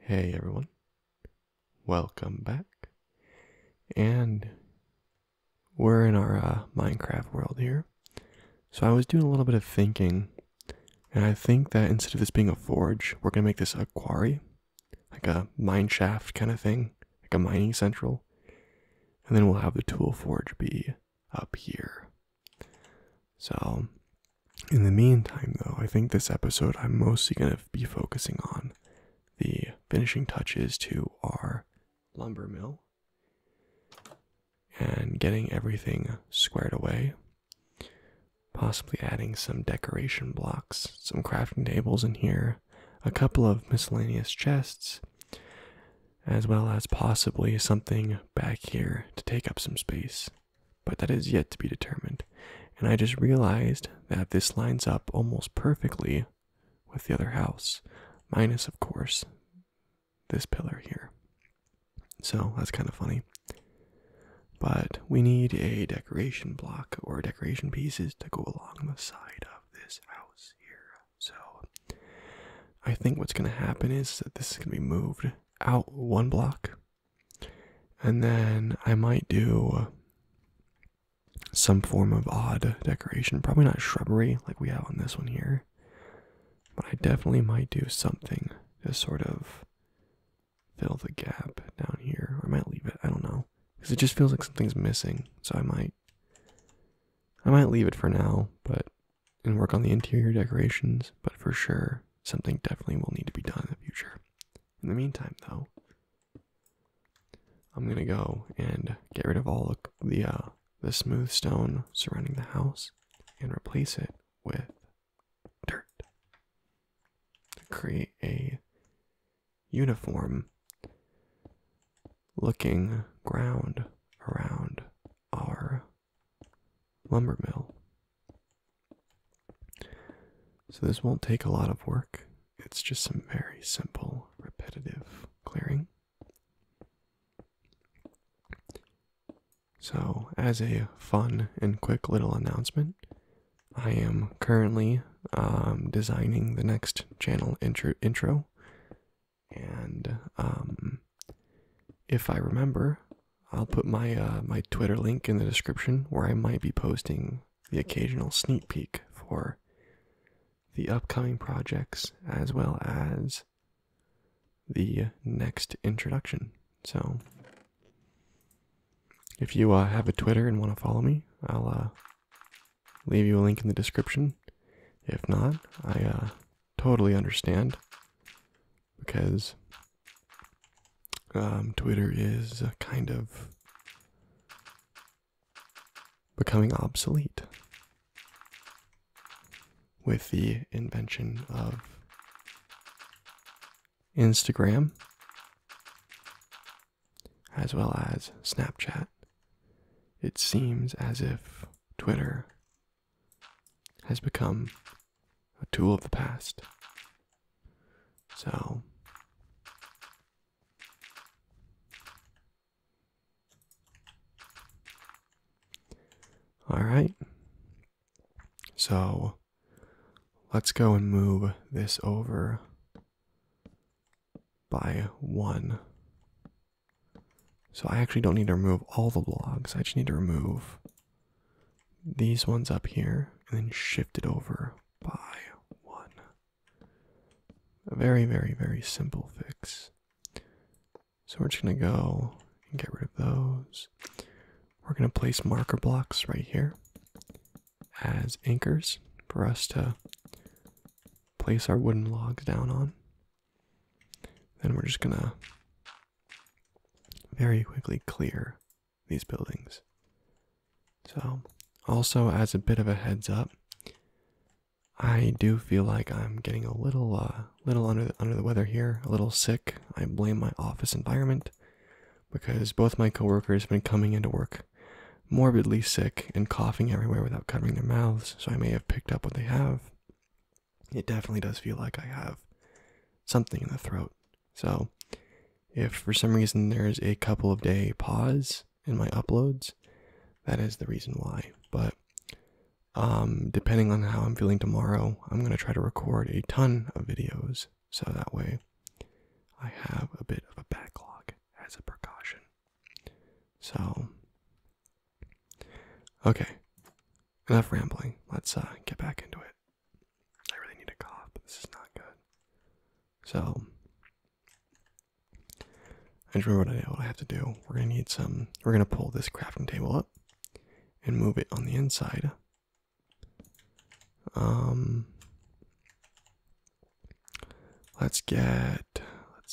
Hey everyone, welcome back. And we're in our uh, Minecraft world here. So I was doing a little bit of thinking, and I think that instead of this being a forge, we're going to make this a quarry, like a mine shaft kind of thing, like a mining central. And then we'll have the tool forge be up here. So, in the meantime, though, I think this episode I'm mostly going to be focusing on the finishing touches to our lumber mill and getting everything squared away. Possibly adding some decoration blocks, some crafting tables in here, a couple of miscellaneous chests, as well as possibly something back here to take up some space. But that is yet to be determined, and I just realized that this lines up almost perfectly with the other house, minus, of course, this pillar here. So that's kind of funny. But we need a decoration block or decoration pieces to go along the side of this house here. So I think what's going to happen is that this is going to be moved out one block. And then I might do some form of odd decoration. Probably not shrubbery like we have on this one here. But I definitely might do something to sort of fill the gap down here. Or I might leave it. I don't know. Because it just feels like something's missing. So I might I might leave it for now, but and work on the interior decorations, but for sure, something definitely will need to be done in the future. In the meantime, though, I'm gonna go and get rid of all the uh, the smooth stone surrounding the house and replace it with dirt to create a uniform looking ground around our Lumbermill. So this won't take a lot of work. It's just some very simple, repetitive clearing. So, as a fun and quick little announcement, I am currently um, designing the next channel intro and um, if I remember, I'll put my uh, my Twitter link in the description where I might be posting the occasional sneak peek for the upcoming projects as well as the next introduction. So, if you uh, have a Twitter and want to follow me, I'll uh, leave you a link in the description. If not, I uh, totally understand because um, Twitter is kind of becoming obsolete with the invention of Instagram as well as Snapchat. It seems as if Twitter has become a tool of the past. So all right. So let's go and move this over by one so I actually don't need to remove all the logs. I just need to remove these ones up here and then shift it over by one. A very, very, very simple fix. So we're just going to go and get rid of those. We're going to place marker blocks right here as anchors for us to place our wooden logs down on. Then we're just gonna very quickly clear these buildings. So, also as a bit of a heads up, I do feel like I'm getting a little, uh, little under the, under the weather here, a little sick. I blame my office environment because both my coworkers have been coming into work morbidly sick and coughing everywhere without covering their mouths, so I may have picked up what they have it definitely does feel like I have something in the throat. So, if for some reason there's a couple of day pause in my uploads, that is the reason why. But um, depending on how I'm feeling tomorrow, I'm going to try to record a ton of videos so that way I have a bit of a backlog as a precaution. So, Okay, enough rambling. Let's uh, get back into it. I really need a cough. this is not good. So, I just remember what I, what I have to do. We're gonna need some. We're gonna pull this crafting table up and move it on the inside. Um, let's get let's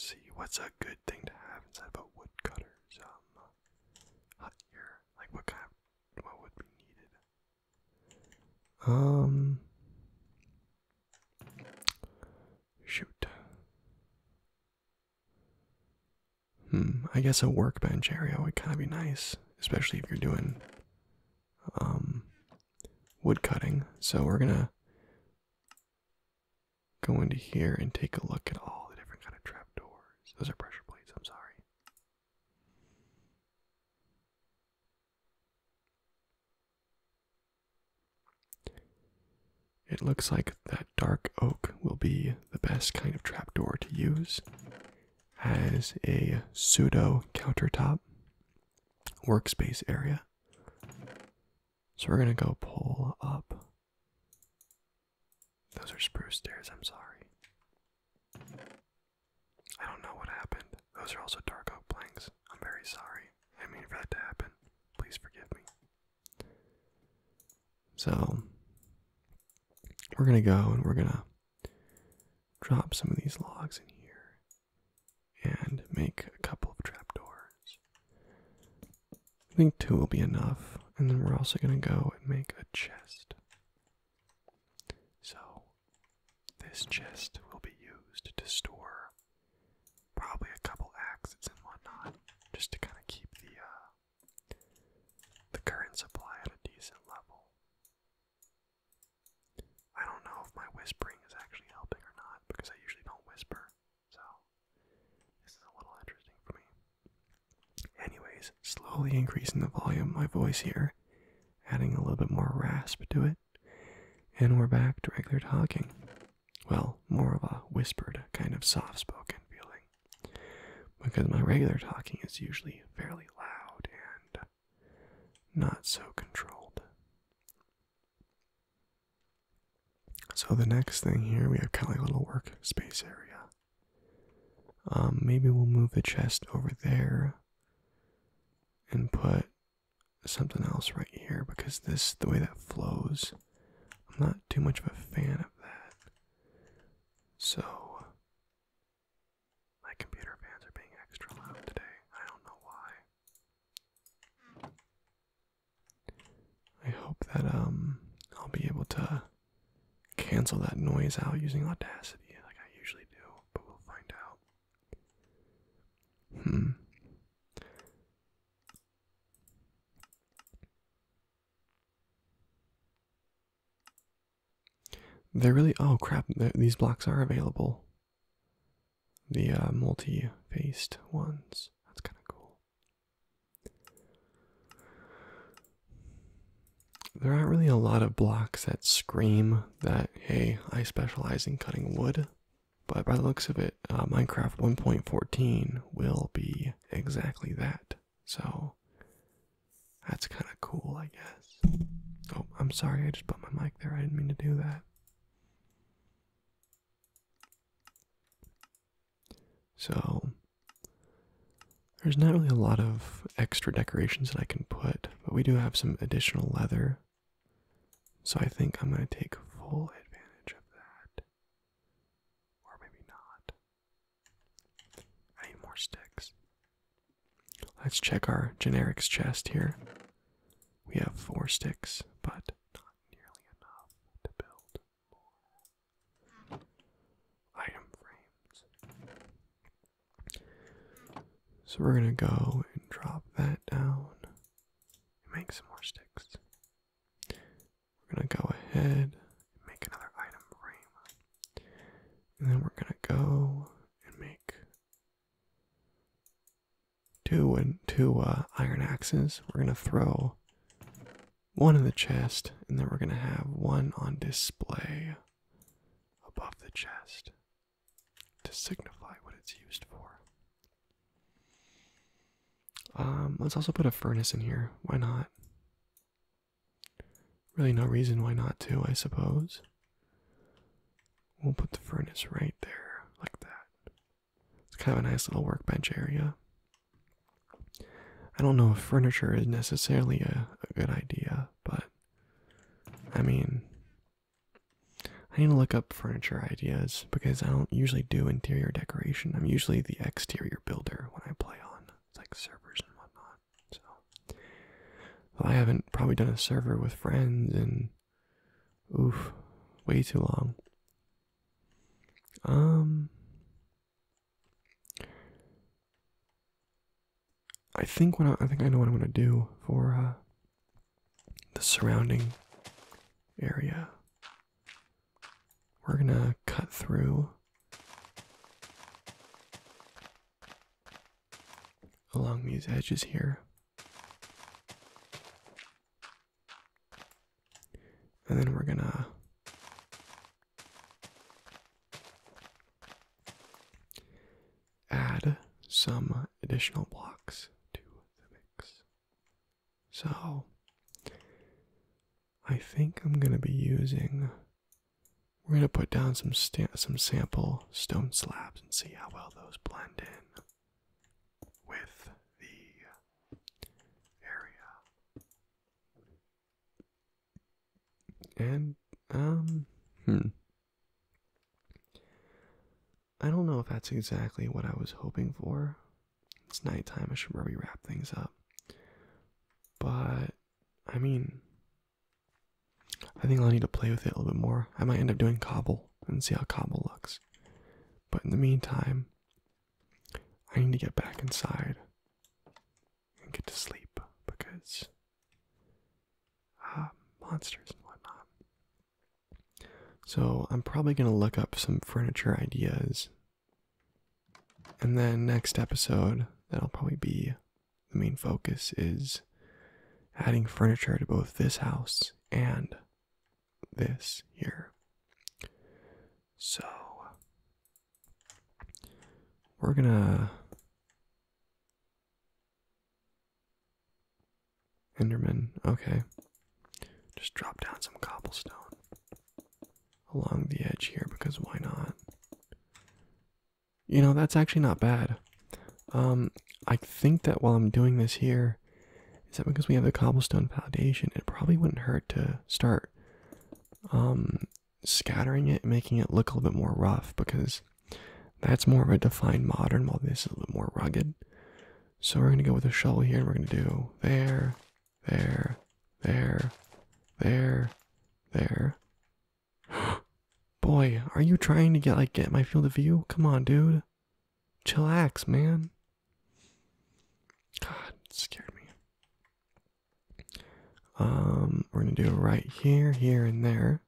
see, what's a good thing to have inside of a woodcutter's um hut here? Like what kind of what would be needed? Um shoot. Hmm, I guess a workbench area would kinda be nice, especially if you're doing um wood cutting. So we're gonna go into here and take a look at all the different kind of trapdoors. Those are pressure plates, I'm sorry. It looks like that dark oak will be the best kind of trapdoor to use as a pseudo countertop workspace area. So we're going to go pull up those are spruce stairs, I'm sorry. I don't know what happened. Those are also dark oak planks. I'm very sorry. I mean for that to happen. Please forgive me. So we're gonna go and we're gonna drop some of these logs in here and make a couple of trapdoors. I think two will be enough, and then we're also gonna go and make a chest. So, this chest will be used to store probably a couple axes and whatnot, just to kind of keep the uh, the current supply at a decent level. I don't know if my whispering is actually helping or not because I usually don't whisper. So, this is a little interesting for me. Anyways, slowly increasing the volume of my voice here, adding a little bit more rasp to it, and we're back to regular talking. Well, more of a whispered, kind of soft spoken feeling. Because my regular talking is usually fairly loud and not so controlled. So the next thing here, we have kind of like a little workspace area. Um, maybe we'll move the chest over there and put something else right here because this, the way that flows, I'm not too much of a fan of that. So, my computer fans are being extra loud today. I don't know why. I hope that um I'll be able to cancel that noise out using Audacity like I usually do, but we'll find out. Hmm. They're really oh crap! These blocks are available. The uh, multi-faced ones. That's kind of cool. There aren't really a lot of blocks that scream that, hey, I specialize in cutting wood, but by the looks of it, uh, Minecraft 1.14 will be exactly that. So that's kind of cool, I guess. Oh, I'm sorry, I just put my mic there. I didn't mean to do that. So there's not really a lot of extra decorations that I can put, but we do have some additional leather. So I think I'm going to take full advantage of that. Or maybe not. I need more sticks. Let's check our generics chest here. We have four sticks, but nearly enough to build more item frames. So we're gonna go and drop that down and make some more sticks. We're gonna go ahead and make another item frame. And then we're gonna go and make two and two uh, iron axes. We're gonna throw one in the chest, and then we're gonna have one on display above the chest to signify what it's used for. Um, let's also put a furnace in here. Why not? Really, no reason why not to, I suppose. We'll put the furnace right there, like that. It's kind of a nice little workbench area. I don't know if furniture is necessarily a, good idea, but I mean, I need to look up furniture ideas because I don't usually do interior decoration. I'm usually the exterior builder when I play on like servers and whatnot. So, I haven't probably done a server with friends in oof, way too long. Um, I think when I, think I know what I'm gonna do for uh, the surrounding area. We're gonna cut through along these edges here. And then we're gonna add some additional blocks to the mix. So I think I'm gonna be using. We're gonna put down some some sample stone slabs and see how well those blend in with the area. And, um, hmm. I don't know if that's exactly what I was hoping for. It's night time, I should probably wrap things up. But, I mean, I think I'll need to play with it a little bit more. I might end up doing cobble and see how Cobble looks. But in the meantime, I need to get back inside and get to sleep because uh, monsters and whatnot. So I'm probably going to look up some furniture ideas. And then next episode, that'll probably be the main focus is adding furniture to both this house and this here. So we're gonna Enderman, okay. Just drop down some cobblestone along the edge here because why not? You know, that's actually not bad. Um, I think that while I'm doing this here, is that because we have the cobblestone foundation? It probably wouldn't hurt to start um, scattering it, making it look a little bit more rough because that's more of a defined modern while this is a little more rugged. So we're going to go with a shovel here and we're going to do there, there, there, there, there. Boy, are you trying to get like get my field of view? Come on, dude. Chillax, man. God, scared me. Um, we're gonna do right here, here, and there.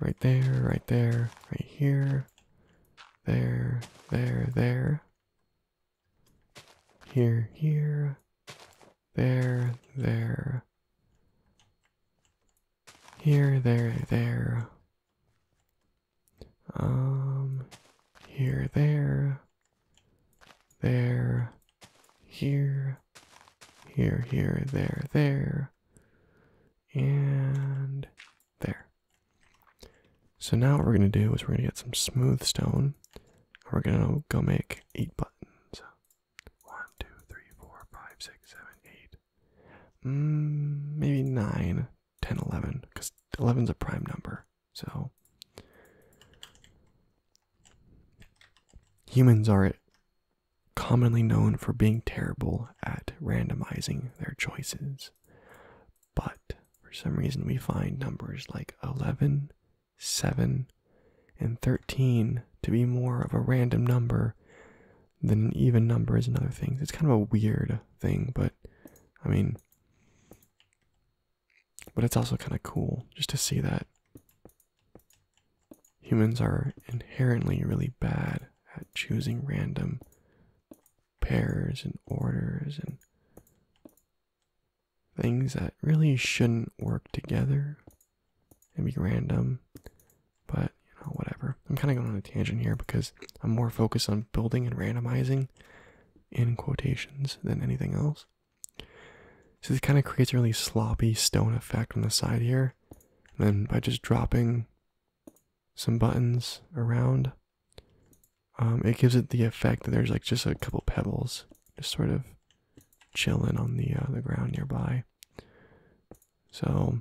Right there, right there, right here. There, there, there. Here, here. There, there. Here, there, there. Um, here, there. There. Here. Here, here, there, there. And there. So now what we're going to do is we're going to get some smooth stone. And we're going to go make eight buttons. One, two, three, four, five, six, seven, eight. Mm, maybe nine. 10, 11, because 11 is a prime number. So humans are commonly known for being terrible at randomizing their choices. But for some reason, we find numbers like 11, 7, and 13 to be more of a random number than an even number is another thing. It's kind of a weird thing, but I mean, but it's also kind of cool just to see that humans are inherently really bad at choosing random pairs and orders and things that really shouldn't work together and be random but, you know, whatever. I'm kind of going on a tangent here because I'm more focused on building and randomizing in quotations than anything else. So this kind of creates a really sloppy stone effect on the side here. And by just dropping some buttons around, um, it gives it the effect that there's like just a couple pebbles just sort of chilling on the uh, the ground nearby. So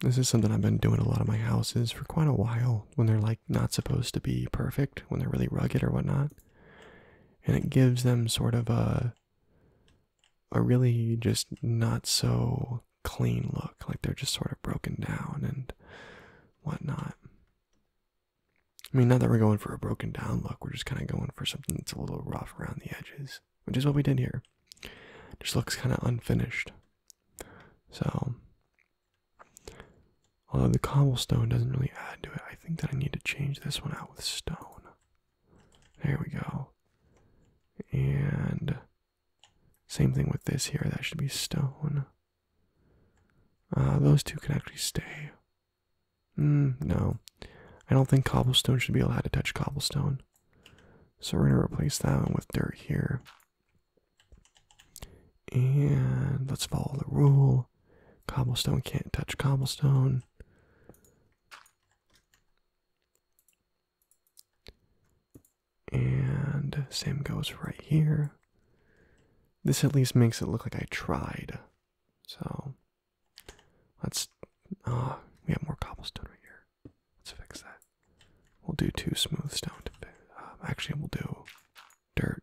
this is something I've been doing a lot of my houses for quite a while when they're like not supposed to be perfect, when they're really rugged or whatnot. And it gives them sort of a a really just not so clean look, like they're just sort of broken down and whatnot. I mean, not that we're going for a broken down look, we're just kind of going for something that's a little rough around the edges which is what we did here. Just looks kind of unfinished. So, although the cobblestone doesn't really add to it, I think that I need to change this one out with stone. There we go. And same thing with this here. That should be stone. Uh, those two can actually stay. Hmm, no, I don't think cobblestone should be allowed to touch cobblestone. So we're going to replace that with dirt here. And let's follow the rule. Cobblestone can't touch cobblestone. And same goes right here. This at least makes it look like I tried. So Let's, uh, we have more cobblestone right here. Let's fix that. We'll do two smooth stone um, actually, we'll do dirt.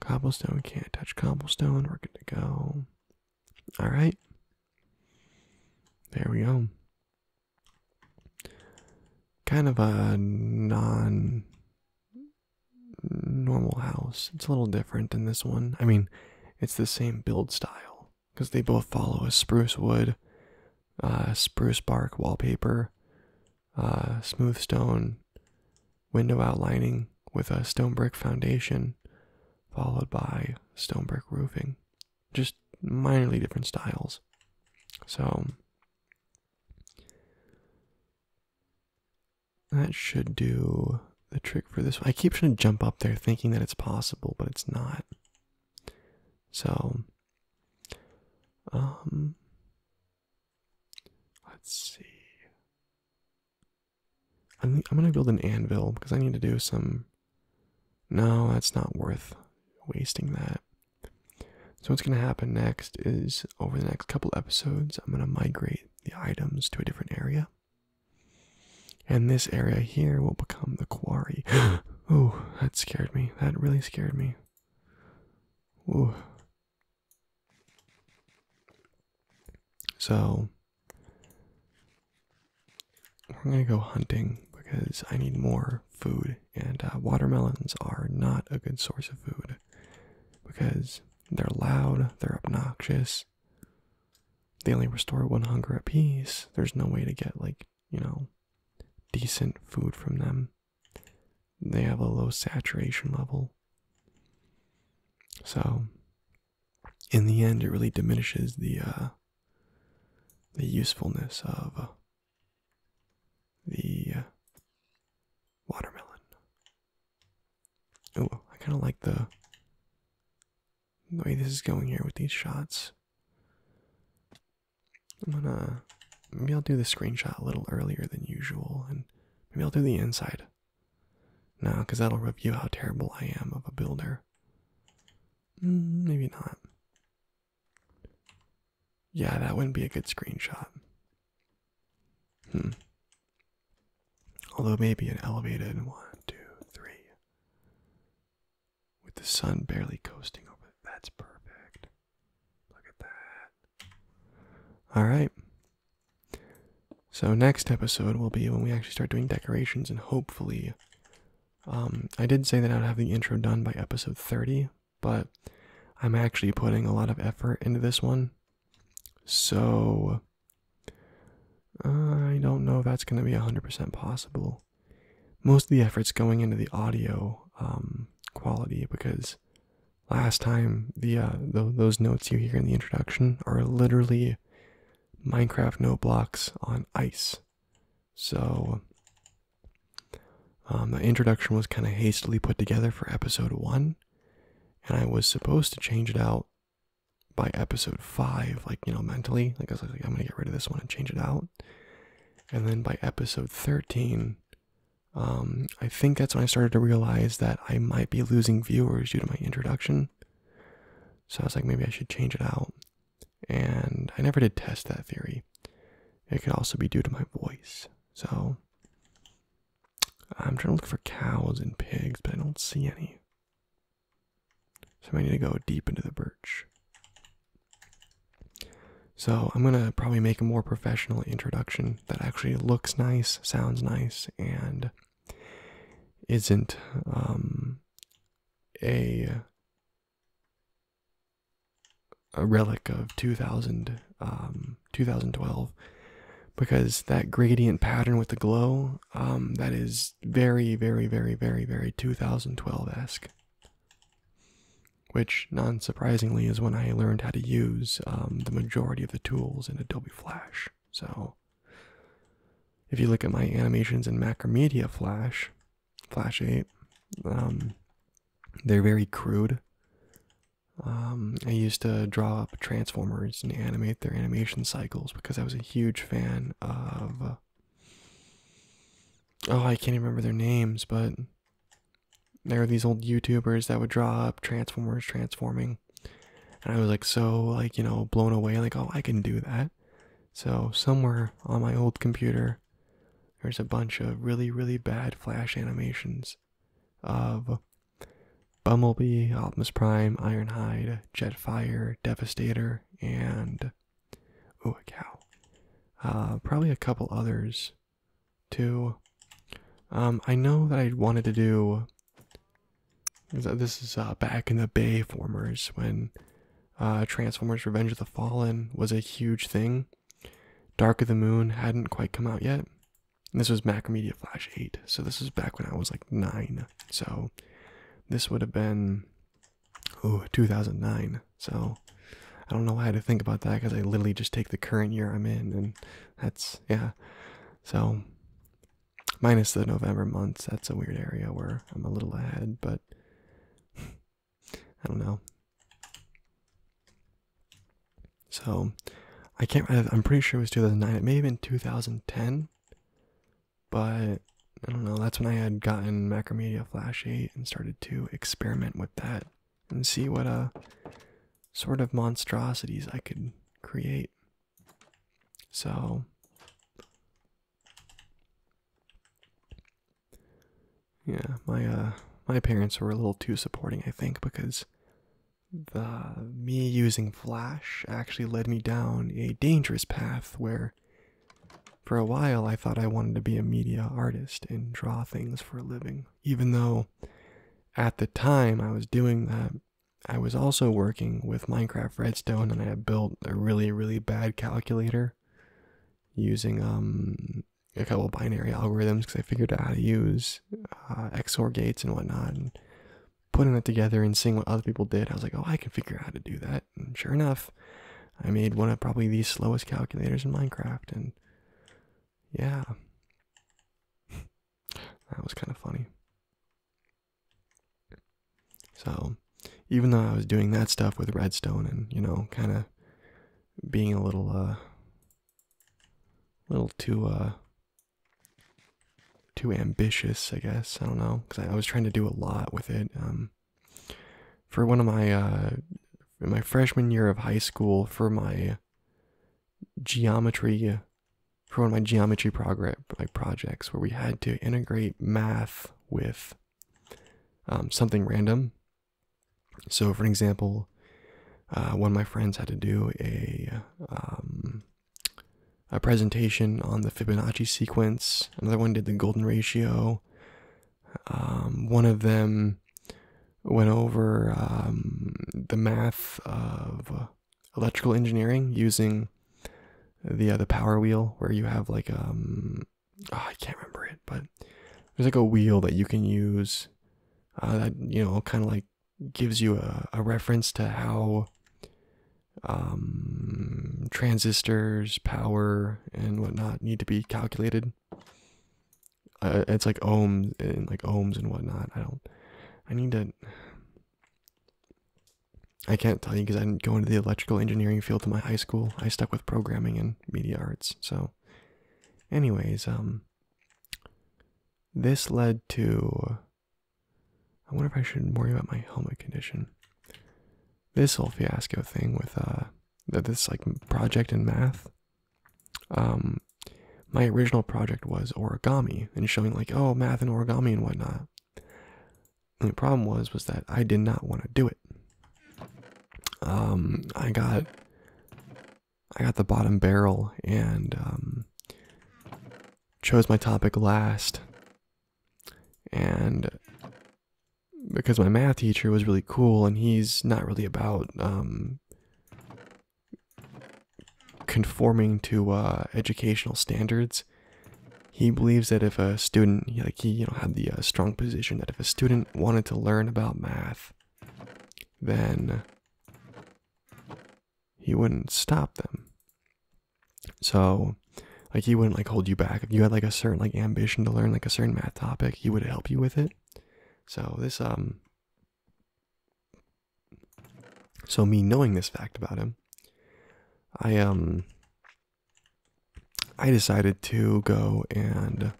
Cobblestone can't touch cobblestone. We're good to go. All right. There we go. Kind of a non normal house. It's a little different than this one. I mean, it's the same build style, because they both follow a spruce wood, uh, spruce bark wallpaper, uh, smooth stone window outlining with a stone brick foundation, followed by stone brick roofing. Just minorly different styles. So that should do the trick for this I keep trying to jump up there thinking that it's possible, but it's not. So, um, let's see. I'm going to build an anvil because I need to do some. No, that's not worth wasting that. So, what's going to happen next is over the next couple episodes, I'm going to migrate the items to a different area. And this area here will become the quarry. oh, that scared me. That really scared me. Ooh. So, we're going to go hunting because I need more food, and uh, watermelons are not a good source of food because they're loud, they're obnoxious, they only restore one hunger apiece. There's no way to get, like, you know, decent food from them. They have a low saturation level. So, in the end, it really diminishes the, uh, the usefulness of uh, the uh, watermelon. Oh, I kind of like the the way this is going here with these shots. I'm gonna maybe I'll do the screenshot a little earlier than usual, and maybe I'll do the inside. No, because that'll review how terrible I am of a builder. Mm, maybe not. Yeah, that wouldn't be a good screenshot. Hmm. Although maybe an elevated one, two, three. With the sun barely coasting over That's perfect. Look at that. Alright. So next episode will be when we actually start doing decorations and hopefully um I did say that I would have the intro done by episode 30, but I'm actually putting a lot of effort into this one. So uh, I don't know if that's going to be 100% possible. Most of the effort's going into the audio um, quality because last time the, uh, those notes you hear in the introduction are literally Minecraft note blocks on ice. So um, the introduction was kind of hastily put together for episode one, and I was supposed to change it out by episode five, like you know, mentally, like I was I'm gonna get rid of this one and change it out. And then by episode 13, um, I think that's when I started to realize that I might be losing viewers due to my introduction. So I was like, maybe I should change it out. And I never did test that theory. It could also be due to my voice. So I'm trying to look for cows and pigs, but I don't see any. So I need to go deep into the birch. So I'm going to probably make a more professional introduction that actually looks nice, sounds nice, and isn't um, a a relic of 2000 um, 2012 because that gradient pattern with the glow um, that is very, very, very, very, very 2012-esque. Which, non-surprisingly, is when I learned how to use um, the majority of the tools in Adobe Flash. So, if you look at my animations in Macromedia Flash, Flash 8, um, they're very crude. Um, I used to draw Transformers and animate their animation cycles because I was a huge fan of. Uh, oh, I can't even remember their names, but there are these old YouTubers that would draw up Transformers transforming, and I was like so like you know blown away like oh I can do that. So somewhere on my old computer, there's a bunch of really really bad Flash animations of Bumblebee, Optimus Prime, Ironhide, Jetfire, Devastator, and oh, a cow. Uh, probably a couple others, too. Um, I know that I wanted to do. This is uh, back in the Bayformers when uh, Transformers: Revenge of the Fallen was a huge thing. Dark of the Moon hadn't quite come out yet. this was Macromedia Flash 8, so this is back when I was like 9. So this would have been ooh, 2009. So I don't know how I to think about that because I literally just take the current year I'm in, and that's yeah. So minus the November months, that's a weird area where I'm a little ahead, but I don't know. So I can't. I'm pretty sure it was 2009. It may have been 2010. But I don't know, that's when I had gotten Macromedia Flash 8 and started to experiment with that and see what uh sort of monstrosities I could create. So yeah, my uh my parents were a little too supporting, I think, because the me using Flash actually led me down a dangerous path where for a while I thought I wanted to be a media artist and draw things for a living. Even though at the time I was doing that, I was also working with Minecraft Redstone and I built a really, really bad calculator using um a couple binary algorithms because I figured out how to use uh, XOR gates and whatnot putting it together and seeing what other people did, I was like, oh, I can figure out how to do that. And sure enough, I made one of probably the slowest calculators in Minecraft. And yeah, that was kind of funny. So even though I was doing that stuff with redstone and, you know, kind of being a little, uh, little too, uh, too ambitious, I guess. I don't know, because I, was trying to do a lot with it. Um, for one of my uh, my freshman year of high school, for my geometry, for one of my geometry progress like projects, where we had to integrate math with um, something random. So, for example, uh, one of my friends had to do a um, a presentation on the Fibonacci sequence. Another one did the golden ratio. Um, one of them went over um, the math of electrical engineering using the the power wheel, where you have like um, ah, I can't remember it, but there's like a wheel that you can use. Uh, that you know, kind of like gives you a, a reference to how um, transistors, power, and whatnot need to be calculated. Uh, it's like ohms and like ohms and whatnot. I don't. I need to. I can't tell you because I didn't go into the electrical engineering field in my high school. I stuck with programming and media arts. So, anyways, um, this led to I wonder if I should worry about my helmet condition. This whole fiasco thing with uh, this like project in math. Um, my original project was origami and showing like oh math and origami and whatnot. the problem was was that I did not want to do it. Um, I got, I got the bottom barrel and um, chose my topic last. And because my math teacher was really cool and he's not really about um, conforming to uh, educational standards he believes that if a student like he you know had the uh, strong position that if a student wanted to learn about math then he wouldn't stop them. So, like, he wouldn't like hold you back. If you had like a certain like ambition to learn like a certain math topic, he would help you with it. So this um. So me knowing this fact about him, I um. I decided to go and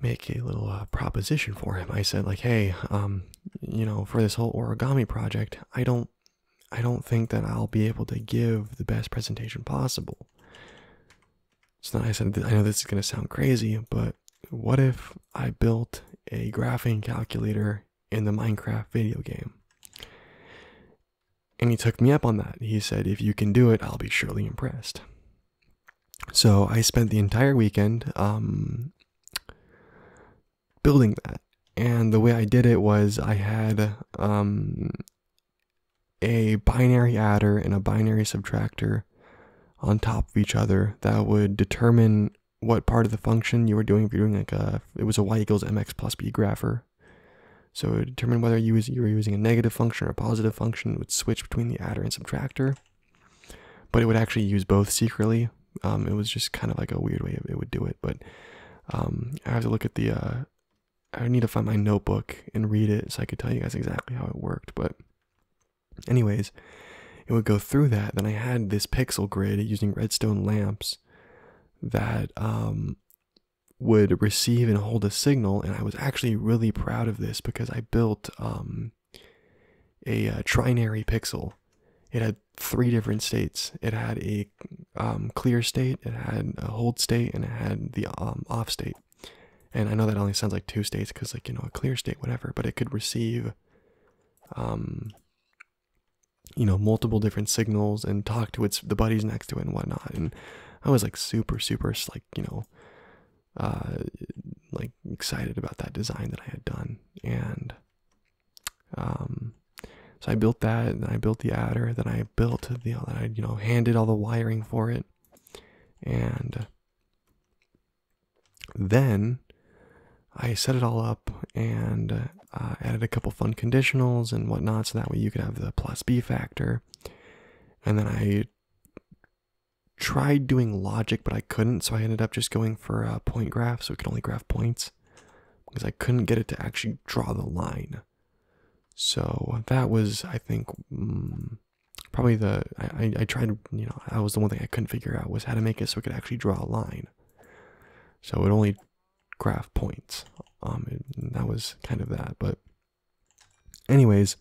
make a little uh, proposition for him. I said like, "Hey, um, you know, for this whole origami project, I don't, I don't think that I'll be able to give the best presentation possible. So then I said, I know this is gonna sound crazy, but what if I built a graphing calculator in the Minecraft video game? And he took me up on that. He said, if you can do it, I'll be surely impressed. So I spent the entire weekend um, building that. And the way I did it was I had um, a binary adder and a binary subtractor on top of each other that would determine what part of the function you were doing. If you're doing like a, it was a y equals mx plus b grapher. So it would determine whether you, were using a negative function or a positive function. would switch between the adder and subtractor but it would actually use both secretly. Um, it was just kind of like a weird way it would do it, but um, I have to look at the. Uh, I need to find my notebook and read it so I could tell you guys exactly how it worked. But, anyways, it would go through that. Then I had this pixel grid using redstone lamps that um, would receive and hold a signal. And I was actually really proud of this because I built a uh, trinary pixel. It had three different states. It had a um, clear state, it had a hold state, and it had the um, off state. And I know that only sounds like two states because, like, you know, a clear state, whatever, but it could receive, um, you know, multiple different signals and talk to its the buddies next to it and whatnot. And I was like super, super, like, you know, uh, like excited about that design that I had done, and um, so I built that, and I built the adder, then I built the, you I you know handed all the wiring for it, and then I set it all up and uh, added a couple fun conditionals and whatnot, so that way you could have the plus B factor, and then I tried doing logic, but I couldn't, so I ended up just going for a point graph, so it could only graph points, because I couldn't get it to actually draw the line. So that was, I think, mm, probably the I, I tried. You know, that was the one thing I couldn't figure out was how to make it so it could actually draw a line. So it only graph points. Um, that was kind of that, but anyways,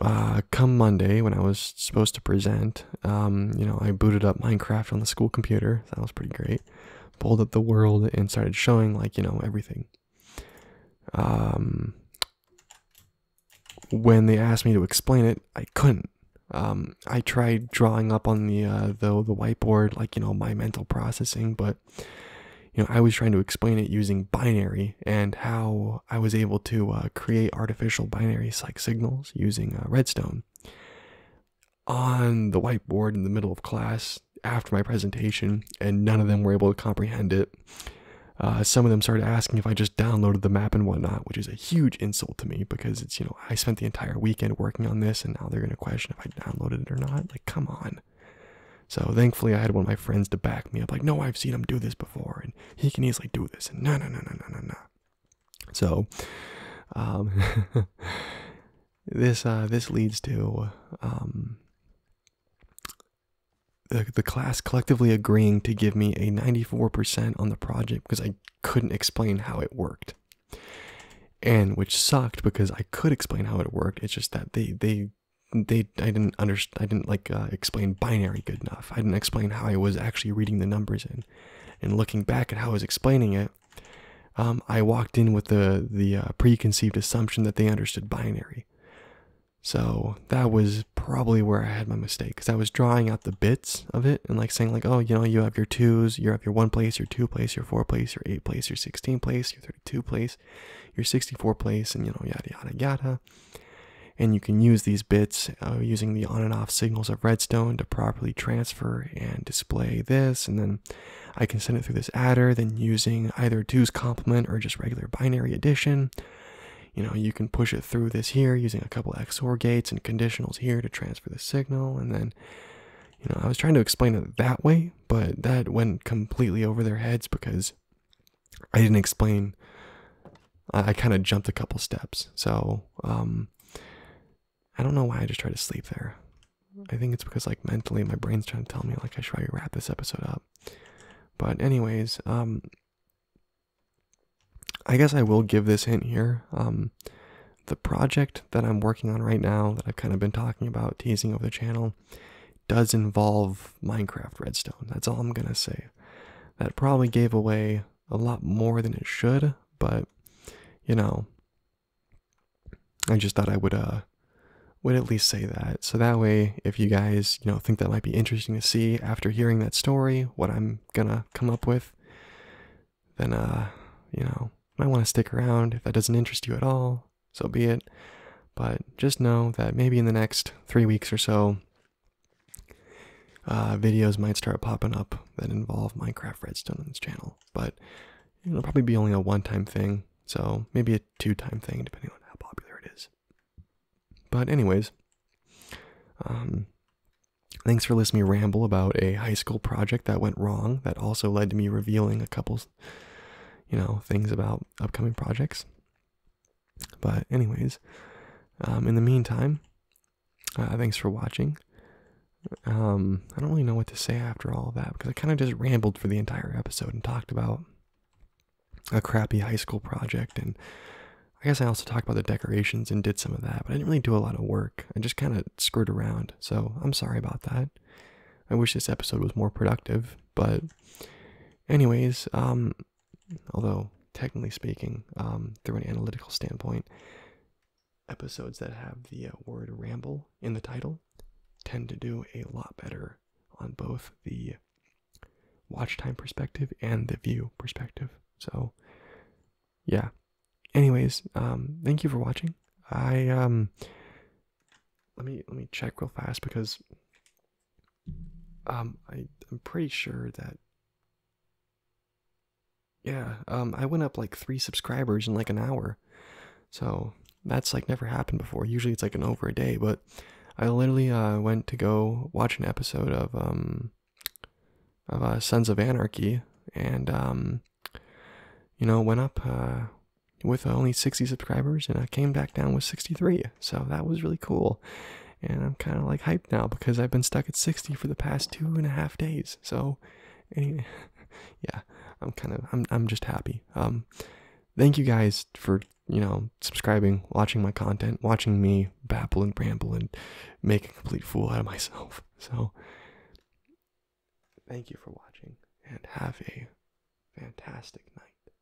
uh, come Monday when I was supposed to present, um, you know, I booted up Minecraft on the school computer. That was pretty great. Pulled up the world and started showing, like, you know, everything. Um, when they asked me to explain it, I couldn't. Um, I tried drawing up on the, uh, the, the whiteboard, like, you know, my mental processing, but, you know, I was trying to explain it using binary and how I was able to uh, create artificial binary like signals using uh, redstone. On the whiteboard in the middle of class after my presentation, and none of them were able to comprehend it. Uh, some of them started asking if I just downloaded the map and whatnot, which is a huge insult to me because it's, you know, I spent the entire weekend working on this and now they're going to question if I downloaded it or not. Like, come on. So thankfully, I had one of my friends to back me up, like, no, I've seen them do this before. And he can easily do this and no no no no no no no so um this uh, this leads to um, the, the class collectively agreeing to give me a 94% on the project because I couldn't explain how it worked. And which sucked because I could explain how it worked. It's just that they, they, they, I didn't understand, I didn't like uh, explain binary good enough. I didn't explain how I was actually reading the numbers in, and looking back at how I was explaining it, um, I walked in with the the uh, preconceived assumption that they understood binary. So that was probably where I had my mistake, because I was drawing out the bits of it and like saying like, oh, you know, you have your twos, you have your one place, your two place, your four place, your eight place, your sixteen place, your thirty-two place, your sixty-four place, and you know, yada yada yada. And you can use these bits uh, using the on and off signals of redstone to properly transfer and display this. And then I can send it through this adder, then using either two's complement or just regular binary addition. You know, you can push it through this here using a couple XOR gates and conditionals here to transfer the signal. And then, you know, I was trying to explain it that way, but that went completely over their heads because I didn't explain. I, kind of jumped a couple steps. So, um, I don't know why I just try to sleep there. I think it's because, like, mentally my brain's trying to tell me, like, I should probably wrap this episode up. But, anyways, um, I guess I will give this hint here. Um, the project that I'm working on right now, that I've kind of been talking about, teasing over the channel, does involve Minecraft Redstone. That's all I'm going to say. That probably gave away a lot more than it should, but you know, I just thought I would uh would at least say that. So that way if you guys, you know, think that might be interesting to see after hearing that story, what I'm gonna come up with, then uh, you know, might want to stick around. If that doesn't interest you at all, so be it. But just know that maybe in the next three weeks or so, uh, videos might start popping up that involve Minecraft Redstone on this channel, but it'll probably be only a one-time thing, so maybe a two-time thing, depending on how popular it is. But anyways, um, thanks for listening me ramble about a high school project that went wrong that also led to me revealing a couple, you know, things about upcoming projects. But, anyways, um, in the meantime, uh, thanks for watching. Um, I don't really know what to say after all of that because I kind of just rambled for the entire episode and talked about a crappy high school project. And I guess I also talked about the decorations and did some of that, but I didn't really do a lot of work. I just kind of screwed around. So I'm sorry about that. I wish this episode was more productive, but anyways, um, although technically speaking, um, through an analytical standpoint, episodes that have the uh, word ramble in the title tend to do a lot better on both the watch time perspective and the view perspective. So, yeah. Anyways, um, thank you for watching. I um, let me let me check real fast because um I I'm pretty sure that yeah, um I went up like 3 subscribers in like an hour. So that's like never happened before. Usually it's like an over a day, but I literally uh went to go watch an episode of um of uh, Sons of Anarchy and um you know, went up uh with only 60 subscribers and I came back down with 63. So that was really cool. And I'm kind of like hyped now because I've been stuck at 60 for the past two and a half days. So, yeah, I'm kind of, I'm, I'm just happy. Um, thank you guys for, you know, subscribing, watching my content, watching me babble and bramble and make a complete fool out of myself. So, thank you for watching and have a fantastic night.